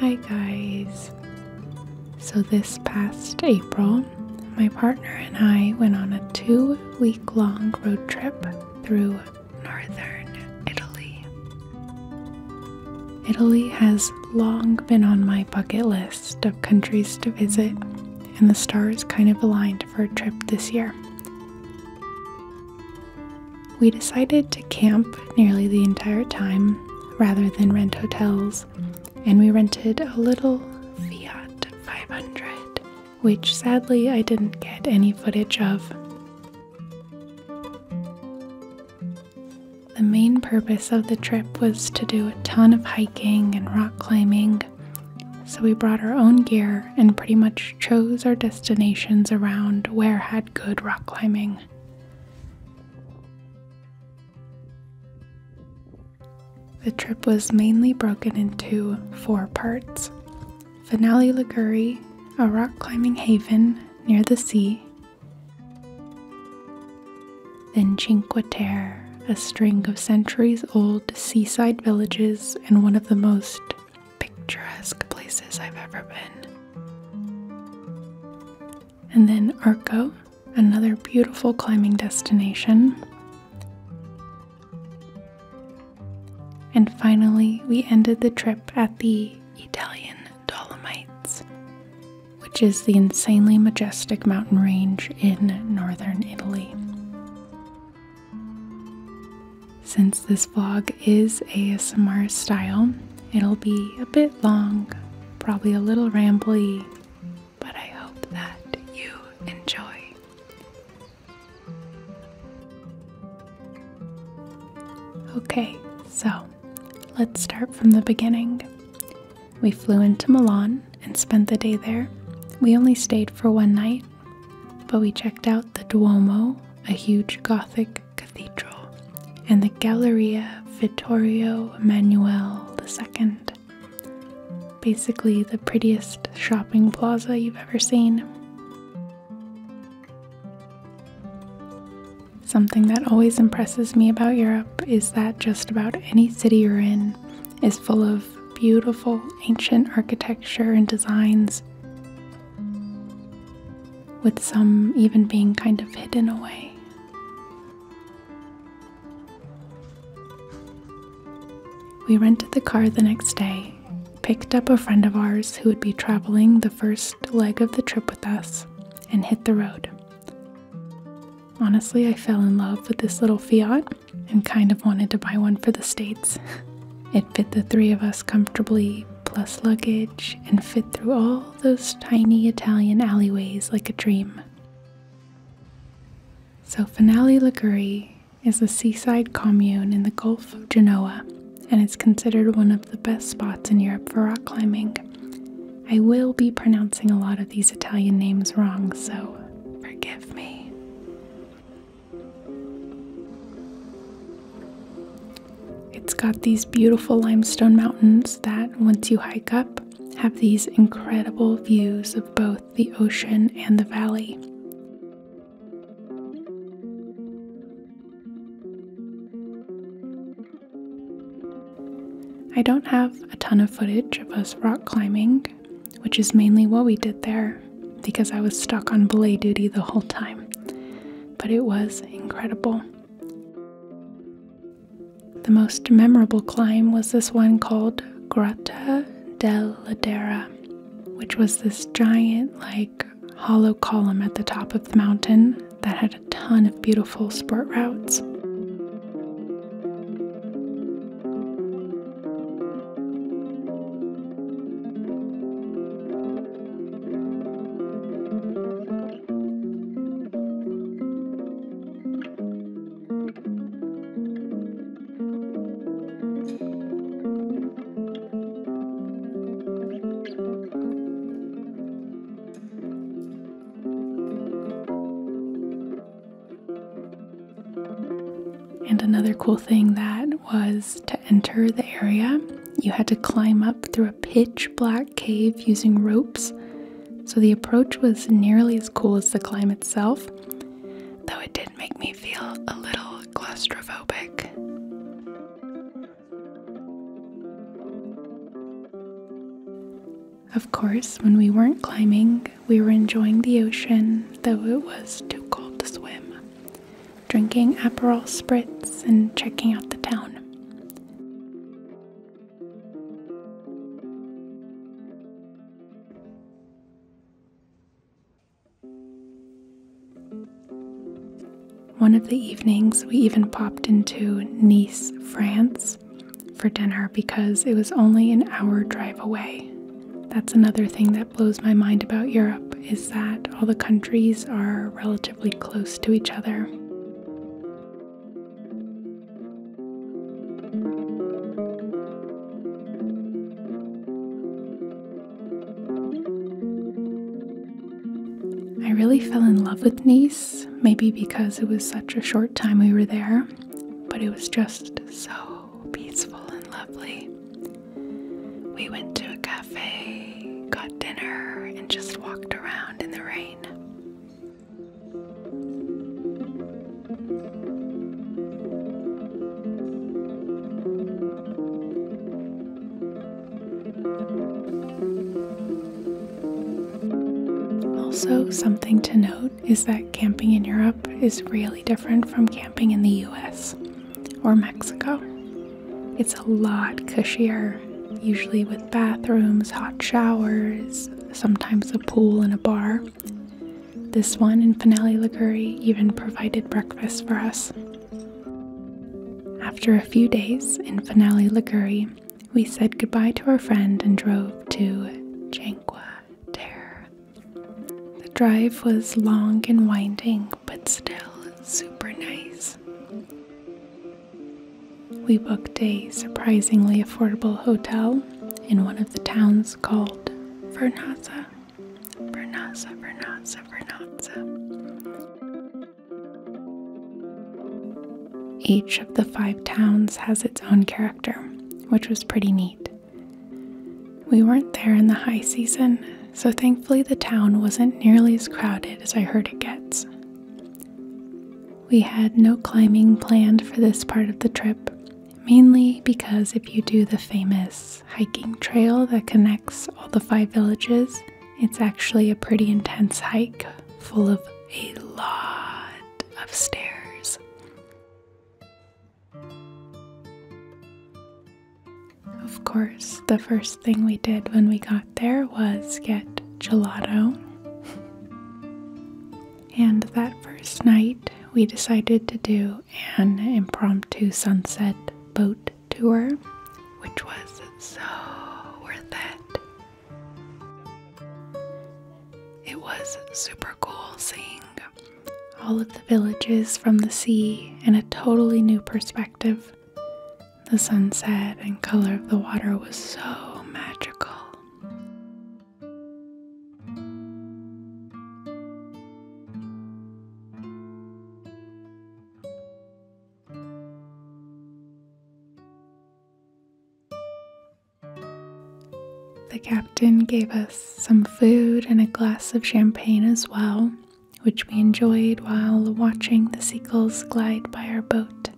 Hi, guys. So, this past April, my partner and I went on a two week long road trip through northern Italy. Italy has long been on my bucket list of countries to visit, and the stars kind of aligned for a trip this year. We decided to camp nearly the entire time rather than rent hotels, and we rented a little Fiat 500, which sadly I didn't get any footage of. The main purpose of the trip was to do a ton of hiking and rock climbing, so we brought our own gear and pretty much chose our destinations around where had good rock climbing. The trip was mainly broken into four parts Finale Liguri, a rock climbing haven near the sea, then Cinque Terre, a string of centuries old seaside villages and one of the most picturesque places I've ever been. And then Arco, another beautiful climbing destination. And finally, we ended the trip at the Italian Dolomites, which is the insanely majestic mountain range in northern Italy. Since this vlog is ASMR style, It'll be a bit long, probably a little rambly, but I hope that you enjoy. Okay, so let's start from the beginning. We flew into Milan and spent the day there. We only stayed for one night, but we checked out the Duomo, a huge Gothic Cathedral and the Galleria Vittorio Emanuele II. Basically, the prettiest shopping plaza you've ever seen. Something that always impresses me about Europe is that just about any city you're in is full of beautiful ancient architecture and designs with some even being kind of hidden away. We rented the car the next day, picked up a friend of ours who would be traveling the first leg of the trip with us, and hit the road. Honestly, I fell in love with this little Fiat and kind of wanted to buy one for the States. It fit the three of us comfortably, plus luggage, and fit through all those tiny Italian alleyways like a dream. So, Finale Liguri is a seaside commune in the Gulf of Genoa and is considered one of the best spots in Europe for rock climbing. I will be pronouncing a lot of these Italian names wrong, so forgive me. It's got these beautiful limestone mountains that, once you hike up, have these incredible views of both the ocean and the valley. I don't have a ton of footage of us rock climbing, which is mainly what we did there because I was stuck on belay duty the whole time. But it was incredible. The most memorable climb was this one called Grotta del Ladera, which was this giant, like, hollow column at the top of the mountain that had a ton of beautiful sport routes. And another cool thing that was to enter the area, you had to climb up through a pitch black cave using ropes, so the approach was nearly as cool as the climb itself, though it did make me feel a little claustrophobic. Of course, when we weren't climbing, we were enjoying the ocean, though it was too cold to swim, drinking Aperol spritz and checking out the town. One of the evenings, we even popped into Nice, France for dinner because it was only an hour drive away. That's another thing that blows my mind about Europe is that all the countries are relatively close to each other. I really fell in love with Nice, maybe because it was such a short time we were there, but it was just so peaceful and lovely. We went to a cafe, got dinner, and just walked around in the rain. Also, something to note is that camping in Europe is really different from camping in the US or Mexico. It's a lot cushier, usually with bathrooms, hot showers, sometimes a pool and a bar. This one in Finale Liguri even provided breakfast for us. After a few days in Finale Liguri, we said goodbye to our friend and drove to Janqua Terre. The drive was long and winding, but still super nice. We booked a surprisingly affordable hotel in one of the towns called Vernazza. Vernazza, Vernazza, Vernazza. Each of the five towns has its own character, which was pretty neat. We weren't there in the high season, so thankfully the town wasn't nearly as crowded as I heard it gets. We had no climbing planned for this part of the trip, mainly because if you do the famous hiking trail that connects all the five villages, it's actually a pretty intense hike full of a lot of stairs. Of course, the first thing we did when we got out there was get gelato. And that first night, we decided to do an impromptu sunset boat tour, which was so worth it. It was super cool seeing all of the villages from the sea in a totally new perspective. The sunset and color of the water was so magical. The captain gave us some food and a glass of champagne as well, which we enjoyed while watching the seagulls glide by our boat.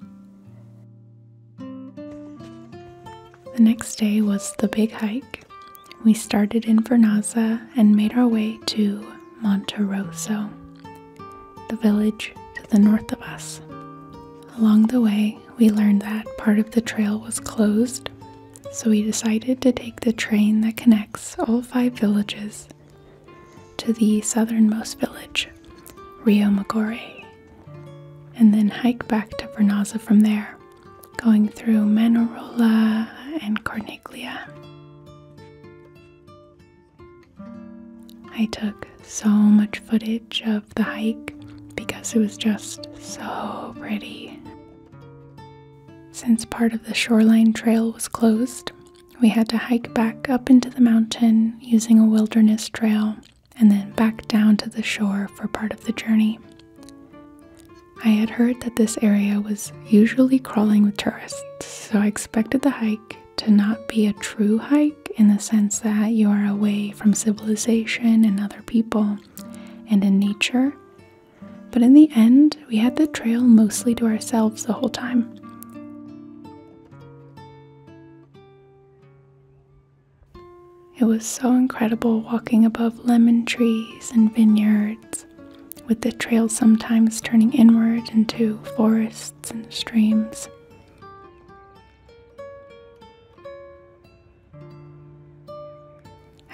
The next day was the big hike. We started in Vernaza and made our way to Monterosso, the village to the north of us. Along the way, we learned that part of the trail was closed, so we decided to take the train that connects all five villages to the southernmost village, Rio Magore, and then hike back to Vernaza from there, going through Manarola and Corniglia. I took so much footage of the hike because it was just so pretty. Since part of the shoreline trail was closed, we had to hike back up into the mountain using a wilderness trail and then back down to the shore for part of the journey. I had heard that this area was usually crawling with tourists, so I expected the hike to not be a true hike in the sense that you are away from civilization and other people and in nature. But in the end, we had the trail mostly to ourselves the whole time. It was so incredible walking above lemon trees and vineyards, with the trail sometimes turning inward into forests and streams.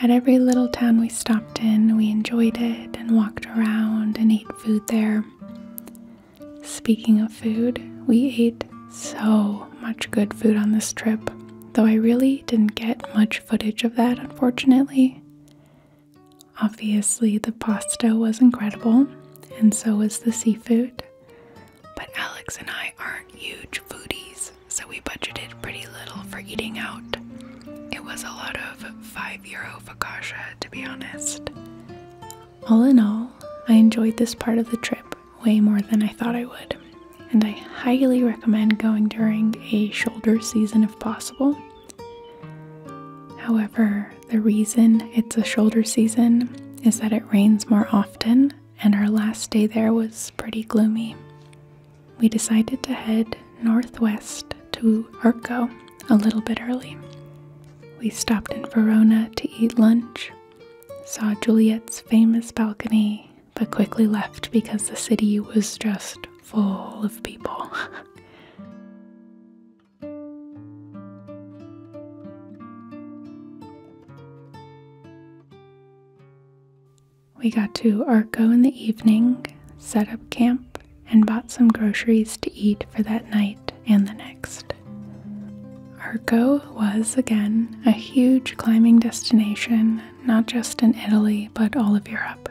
At every little town we stopped in, we enjoyed it and walked around and ate food there. Speaking of food, we ate so much good food on this trip, though I really didn't get much footage of that, unfortunately. Obviously, the pasta was incredible, and so was the seafood. But Alex and I aren't huge foodies, so we budgeted pretty little for eating out. It was a lot of 5 euro focaccia, to be honest. All in all, I enjoyed this part of the trip way more than I thought I would, and I highly recommend going during a shoulder season if possible. However, the reason it's a shoulder season is that it rains more often, and our last day there was pretty gloomy. We decided to head northwest to Urko a little bit early. We stopped in Verona to eat lunch, saw Juliet's famous balcony, but quickly left because the city was just full of people. we got to Arco in the evening, set up camp, and bought some groceries to eat for that night and the next. Arco was again a huge climbing destination, not just in Italy but all of Europe.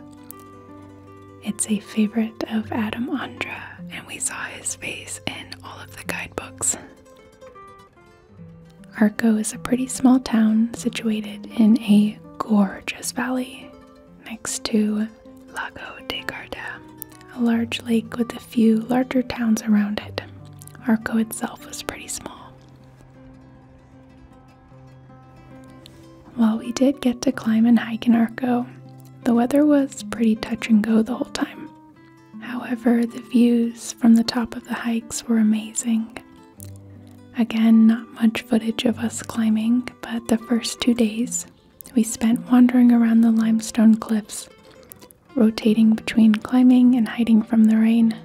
It's a favorite of Adam Andra, and we saw his face in all of the guidebooks. Arco is a pretty small town situated in a gorgeous valley next to Lago de Garda, a large lake with a few larger towns around it. Arco itself was pretty small. While we did get to climb and hike in Arco, the weather was pretty touch and go the whole time. However, the views from the top of the hikes were amazing. Again, not much footage of us climbing, but the first two days we spent wandering around the limestone cliffs, rotating between climbing and hiding from the rain.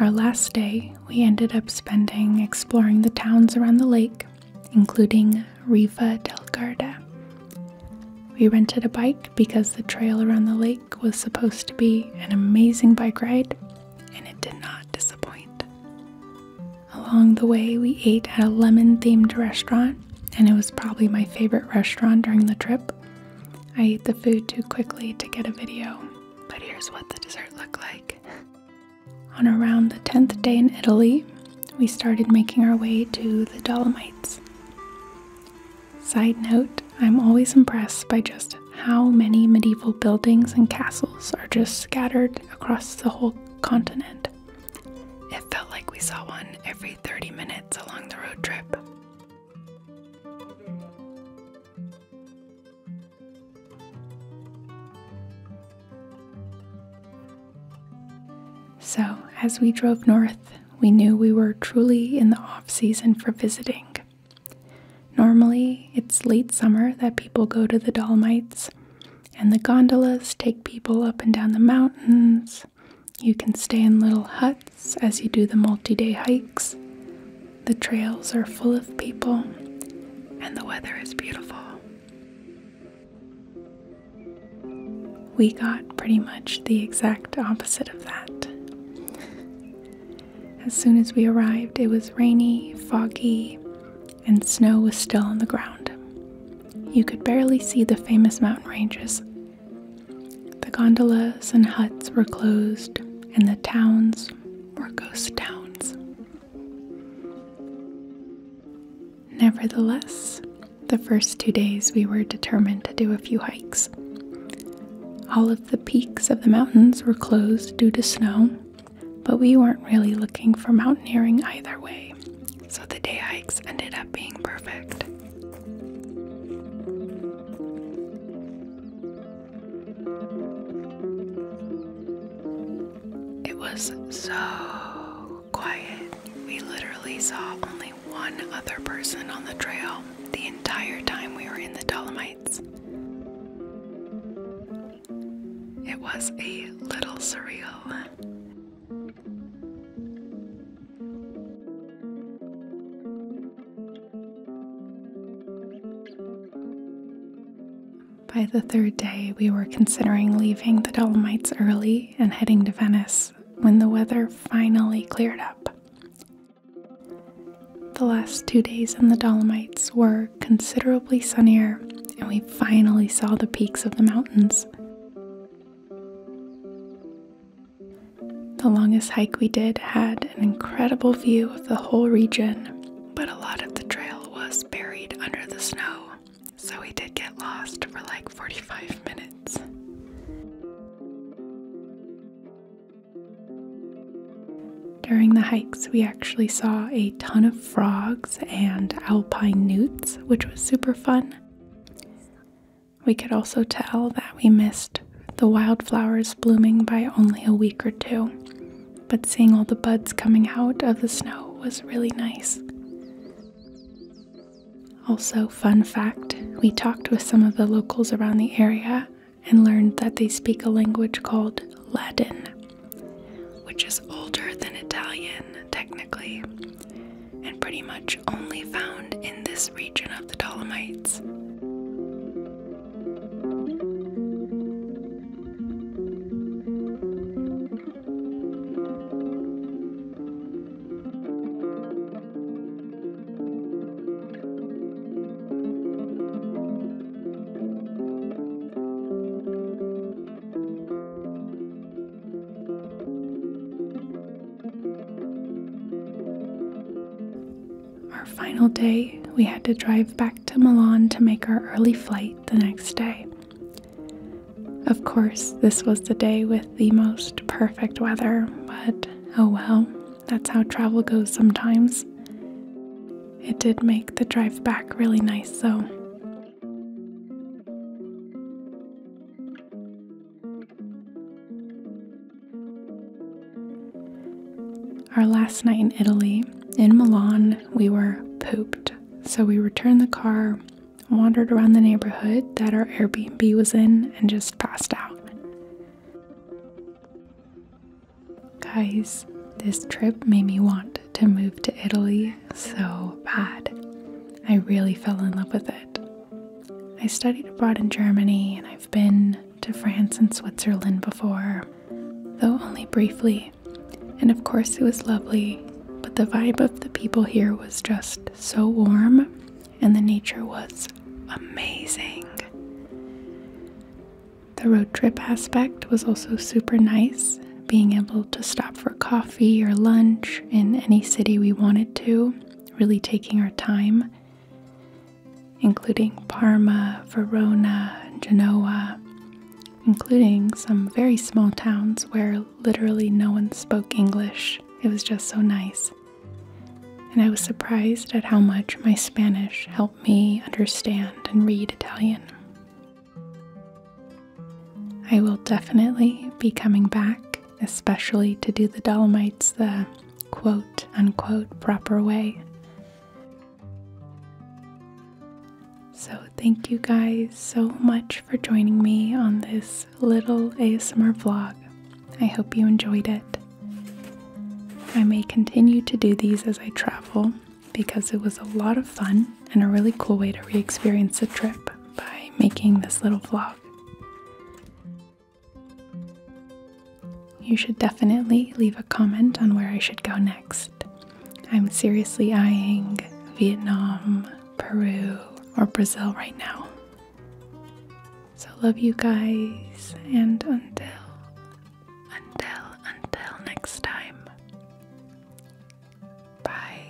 Our last day, we ended up spending exploring the towns around the lake, including Riva del Garda. We rented a bike because the trail around the lake was supposed to be an amazing bike ride, and it did not disappoint. Along the way, we ate at a lemon themed restaurant, and it was probably my favorite restaurant during the trip. I ate the food too quickly to get a video, but here's what the dessert looked like. On around the 10th day in Italy, we started making our way to the Dolomites. Side note, I'm always impressed by Justin how many medieval buildings and castles are just scattered across the whole continent. It felt like we saw one every 30 minutes along the road trip. So, as we drove north, we knew we were truly in the off season for visiting. Normally, it's late summer that people go to the Dolomites, and the gondolas take people up and down the mountains. You can stay in little huts as you do the multi day hikes. The trails are full of people, and the weather is beautiful. We got pretty much the exact opposite of that. As soon as we arrived, it was rainy, foggy, and snow was still on the ground. You could barely see the famous mountain ranges. The gondolas and huts were closed, and the towns were ghost towns. Nevertheless, the first two days we were determined to do a few hikes. All of the peaks of the mountains were closed due to snow, but we weren't really looking for mountaineering either way, so the day hikes ended up being perfect. It was so quiet. We literally saw only one other person on the trail the entire time we were in the Dolomites. It was a little surreal. By the third day, we were considering leaving the Dolomites early and heading to Venice when the weather finally cleared up. The last two days in the Dolomites were considerably sunnier, and we finally saw the peaks of the mountains. The longest hike we did had an incredible view of the whole region, but a lot of the trail was buried under the snow, so we did get lost for like 45 minutes. During the hikes, we actually saw a ton of frogs and alpine newts, which was super fun. We could also tell that we missed the wildflowers blooming by only a week or two, but seeing all the buds coming out of the snow was really nice. Also, fun fact we talked with some of the locals around the area and learned that they speak a language called Latin, which is older than Italian technically, and pretty much only found in this region of the Dolomites. Our final day, we had to drive back to Milan to make our early flight the next day. Of course, this was the day with the most perfect weather, but oh well, that's how travel goes sometimes. It did make the drive back really nice, though. Our last night in Italy, in Milan, we were pooped. So we returned the car, wandered around the neighborhood that our Airbnb was in, and just passed out. Guys, this trip made me want to move to Italy so bad. I really fell in love with it. I studied abroad in Germany and I've been to France and Switzerland before, though only briefly. And of course, it was lovely, but the vibe of the people here was just so warm and the nature was amazing. The road trip aspect was also super nice, being able to stop for coffee or lunch in any city we wanted to, really taking our time, including Parma, Verona, Genoa, including some very small towns where literally no one spoke English. It was just so nice. And I was surprised at how much my Spanish helped me understand and read Italian. I will definitely be coming back, especially to do the Dolomites the quote unquote proper way. So, thank you guys so much for joining me on this little ASMR vlog. I hope you enjoyed it. I may continue to do these as I travel, because it was a lot of fun and a really cool way to re experience the trip by making this little vlog. You should definitely leave a comment on where I should go next. I'm seriously eyeing Vietnam, Peru, or Brazil right now. So, love you guys, and until until until next time. Bye.